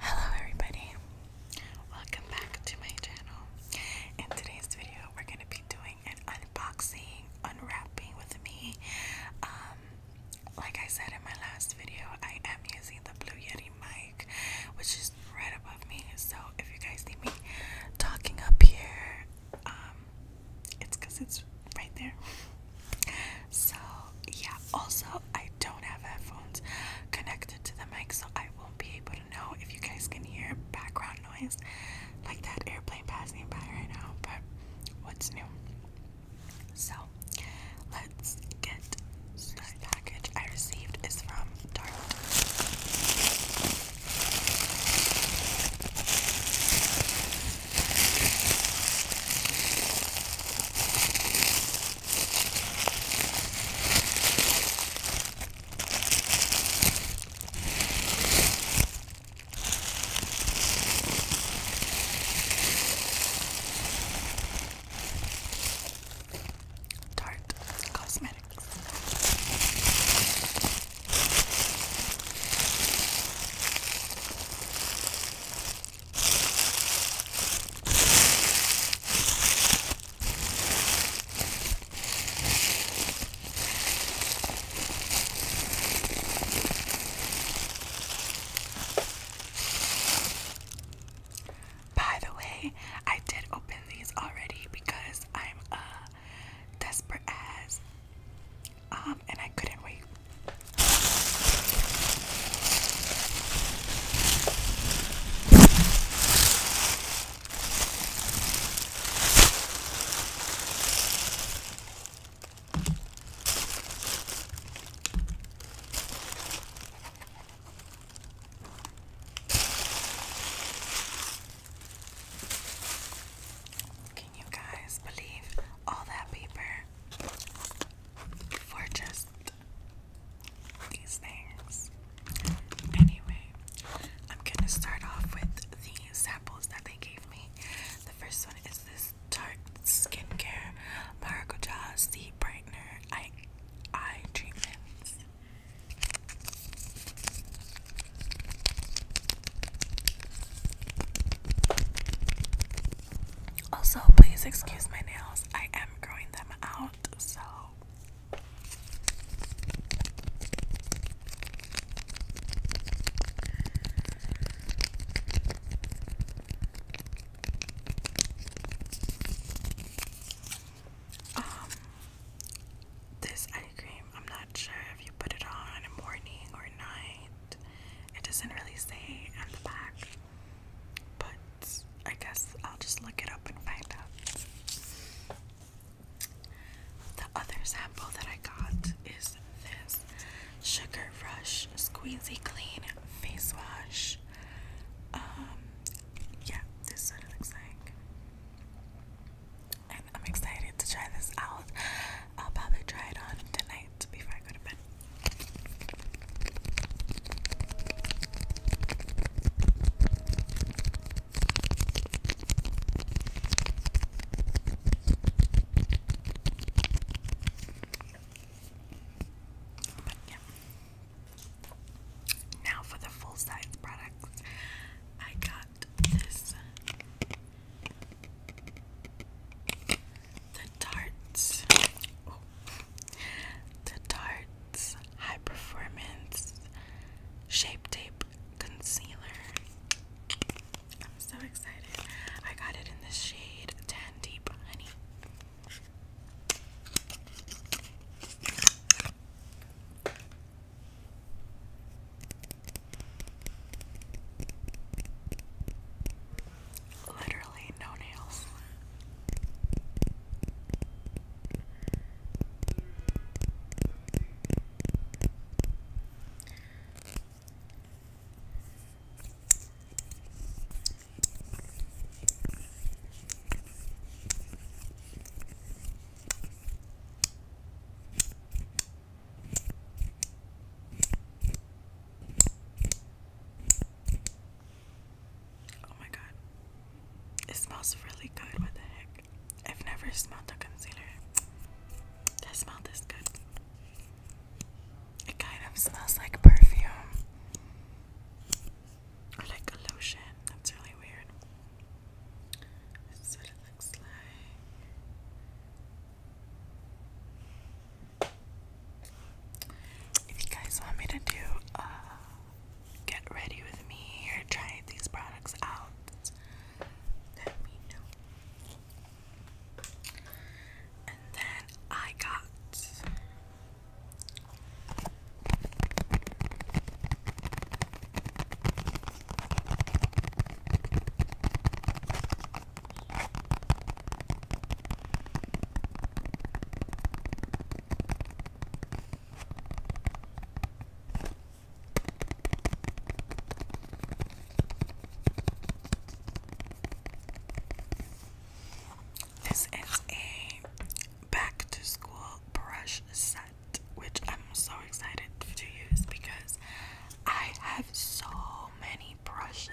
Hello everybody, welcome back to my channel. In today's video, we're going to be doing an unboxing, unwrapping with me. Um, like I said in my last video, I am using the Blue Yeti mic, which is right above me. So if you guys see me talking up here, um, it's because it's right there. So yeah, also, I don't have headphones connected to the mic, so I won't be able to know if you guys can hear background noise like that airplane passing by right now. But what's new? So, let's get this package I received is from Target. Tarte Cosmetics. By the way, I did open these already because I'm a uh, desperate ass, um and I couldn't wait. Can you guys believe all that paper for just Anyway, I'm gonna start off with the samples that they gave me. The first one is this Tarte Skincare Maracuja Sea Brightener Eye Eye Treatment. Also, please excuse my nails. I am growing them out, so. Um, this eye cream, I'm not sure if you put it on in morning or night. It doesn't really say on the back. But I guess I'll just look it up and find out. The other sample that I got is this Sugar Rush Squeezy Clean Face Wash. Um, yeah, this is what looks like. And I'm excited to try this out. I'll probably try it on tonight before I go to bed. But yeah. Now for the full size products, I got this the Darts. The Darts High Performance Shape Tape Concealer. I'm so excited. I got it in the shade ten Deep Honey literally no nails. Oh my god. It smells really good. What the heck? I've never smelled a concealer that smells this good. It kind of smells like perfume. Or like a lotion. That's really weird. This is what it looks like. If you guys want me to do uh, get ready with me or try these products out, let me know. And then I got this is a back to school brush set, which I'm so excited to use because I have so many brushes,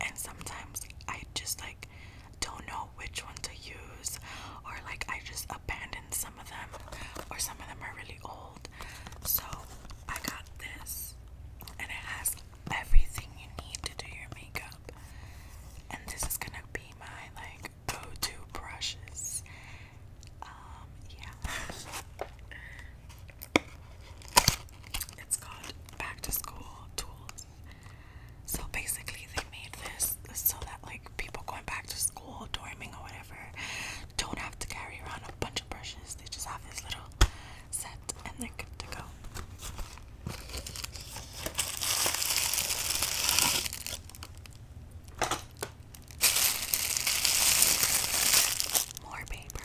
and sometimes I just like don't know which one to use, or like I just abandoned some of them, or some of them are really old. So I got this, and it has everything you need to do your makeup. And this is gonna be my like go-to brushes. Um, yeah. It's called Back to School Tools. So basically, they made this so that like people going back to school, dorming or whatever, don't have to carry around a bunch of brushes. They just have this little set, and they're good to go. More paper.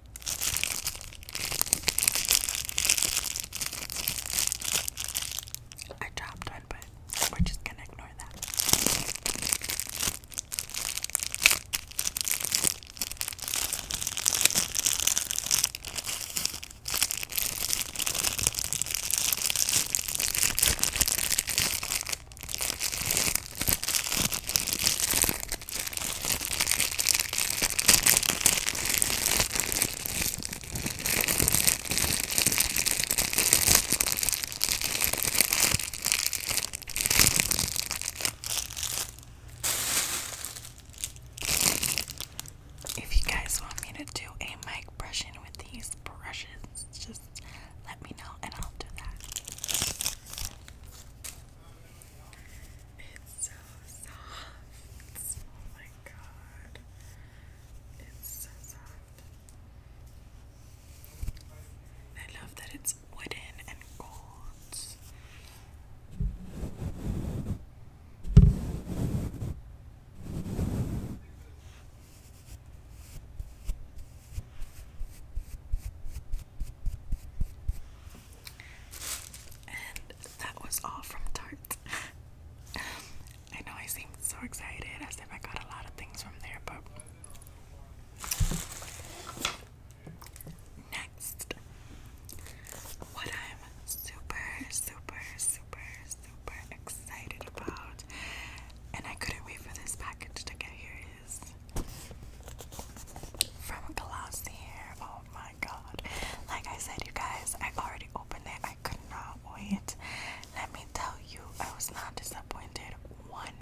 I dropped one, but we're just gonna ignore that. If you guys want me to do a mic brushing with these brushes, just let me know and I'll do that. It's so soft. Oh my god. It's so soft. I love that it's wooden and gold. And that was all from Tarte. I know I seemed so excited as if I got a lot of things from there, but. Next, what I'm super, super, super, super excited about, and I couldn't wait for this package to get here, is from Glossier. Oh my my god. Like I said, you guys, I already opened it. I could not wait. Let me tell you, I was not disappointed one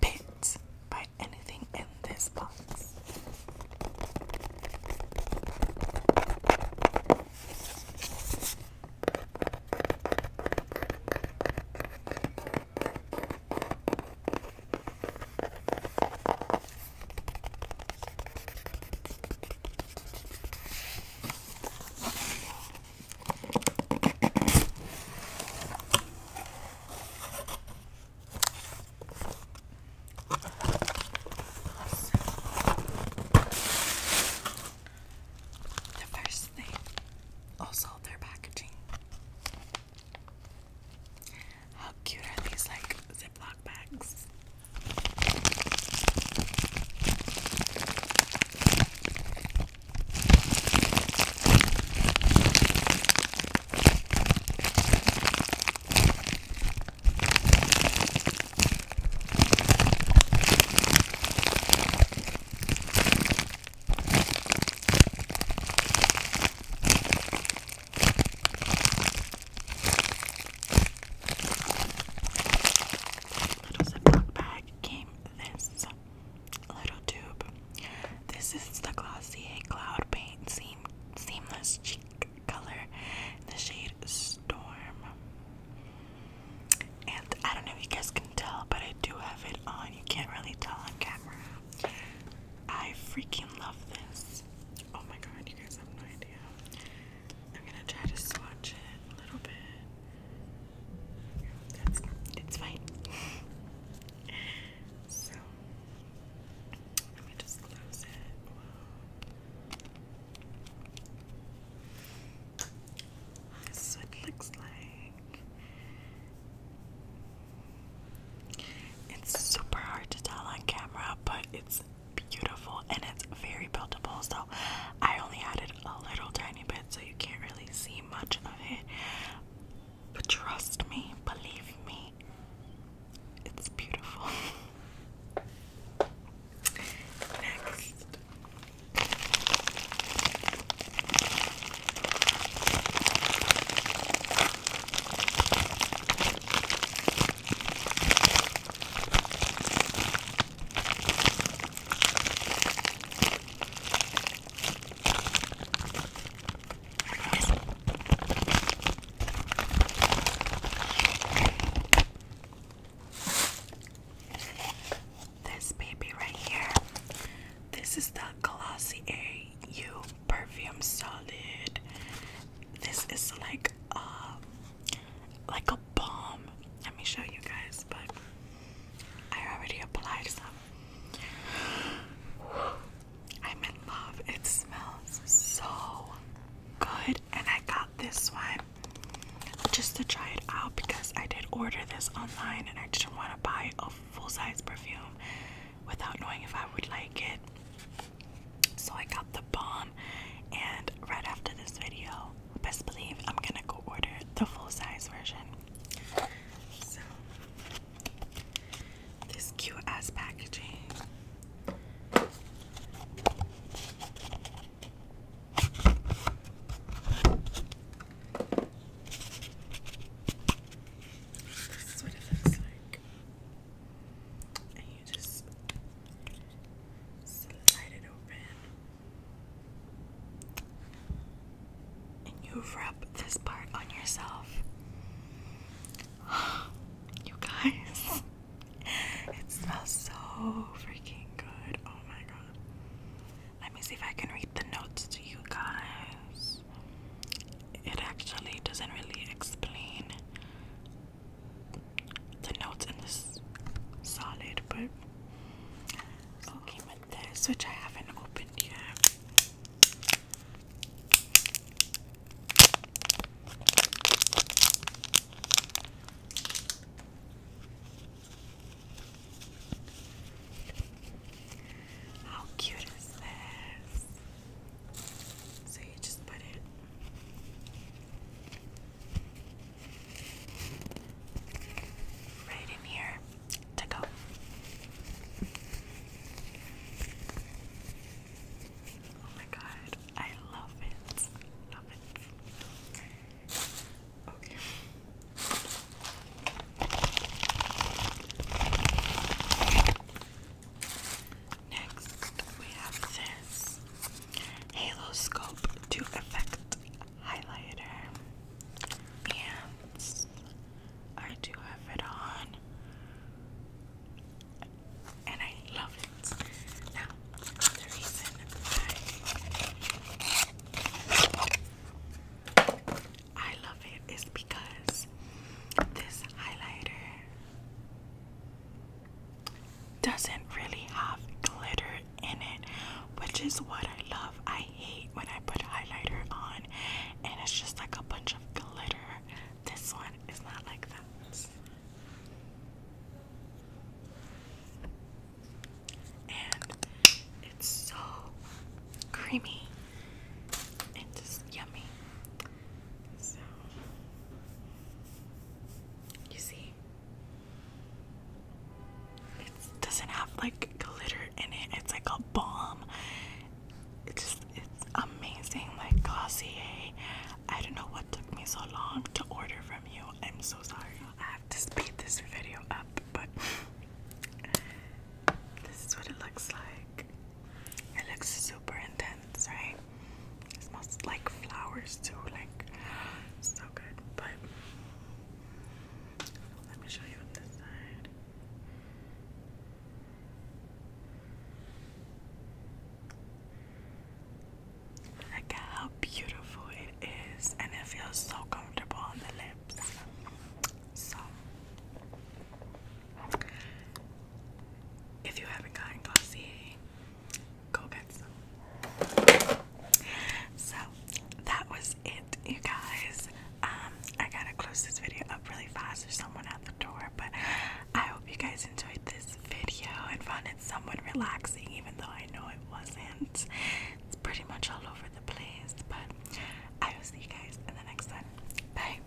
bit by anything in this box. The first thing, also their packaging. How cute are these like Ziploc bags? Little Ziploc bag came this little tube. This is the Glossier Cloud Paint Seam Seamless Cheek Color the shade Storm. And I don't know if you guys can tell, but I do have it on. You can't really tell on camera. I freaking love this. Oh my god, you guys have no idea. I'm gonna try to swatch it a little bit. That's it's fine. so let me just close it. This is what it looks like. It's super hard to tell on camera, but it's beautiful and it's very buildable. So I only added a little tiny bit so you can't really see much of it. But trust me, believe me, it's beautiful. Next. This baby right here. This is the Colossi AU perfume solid. This is like a uh, like a balm. Let me show you guys, but I already applied some. I'm in love. It smells so good, and I got this one just to try it out because I did order this online and I didn't want to buy a full size perfume without knowing if I would like it. So I got the bomb, and right after this video, best believe I'm gonna go order the full size version. So, this cute ass packaging. This is what it looks like you just slide it open. And you rub this part on yourself. You guys, it smells so freaking good. Oh my god. Let me see if I can read the notes to you guys it actually doesn't really explain the notes in this solid, but okay with this, which I haven't opened yet. How cute is this? So you just put it right in here to go. Oh my god, I love it. Love it. Okay. Next, we have this Halo Scope 2 Effect Highlighter. And I do have it on. And I love it. Now, the reason I love it is because this highlighter doesn't really have glitter in it, which is what I love. I hate when I put highlighter on and it's just like a bunch of glitter. This one is not like that. And it's so creamy and just yummy you see, it doesn't have like glitter in it, it's like a bomb. It's just, it's amazing. Like, Glossier, I don't know what took me so long to order from you. I'm so sorry. I have to speed this video up, but this is what it looks like. It looks super intense, right? It smells like flowers too, like so good. But let me show you this side. Look at how beautiful it is, and it feels so comfortable on the lips. So, if you haven't gotten Glossier, go get some. So that was it, you guys. Um, I gotta close this video up really fast. There's someone at the door, but I hope you guys enjoyed this video and found it somewhat relaxing, even though I know it wasn't. It's pretty much all over the place, but I will see you guys in the next one. Bye.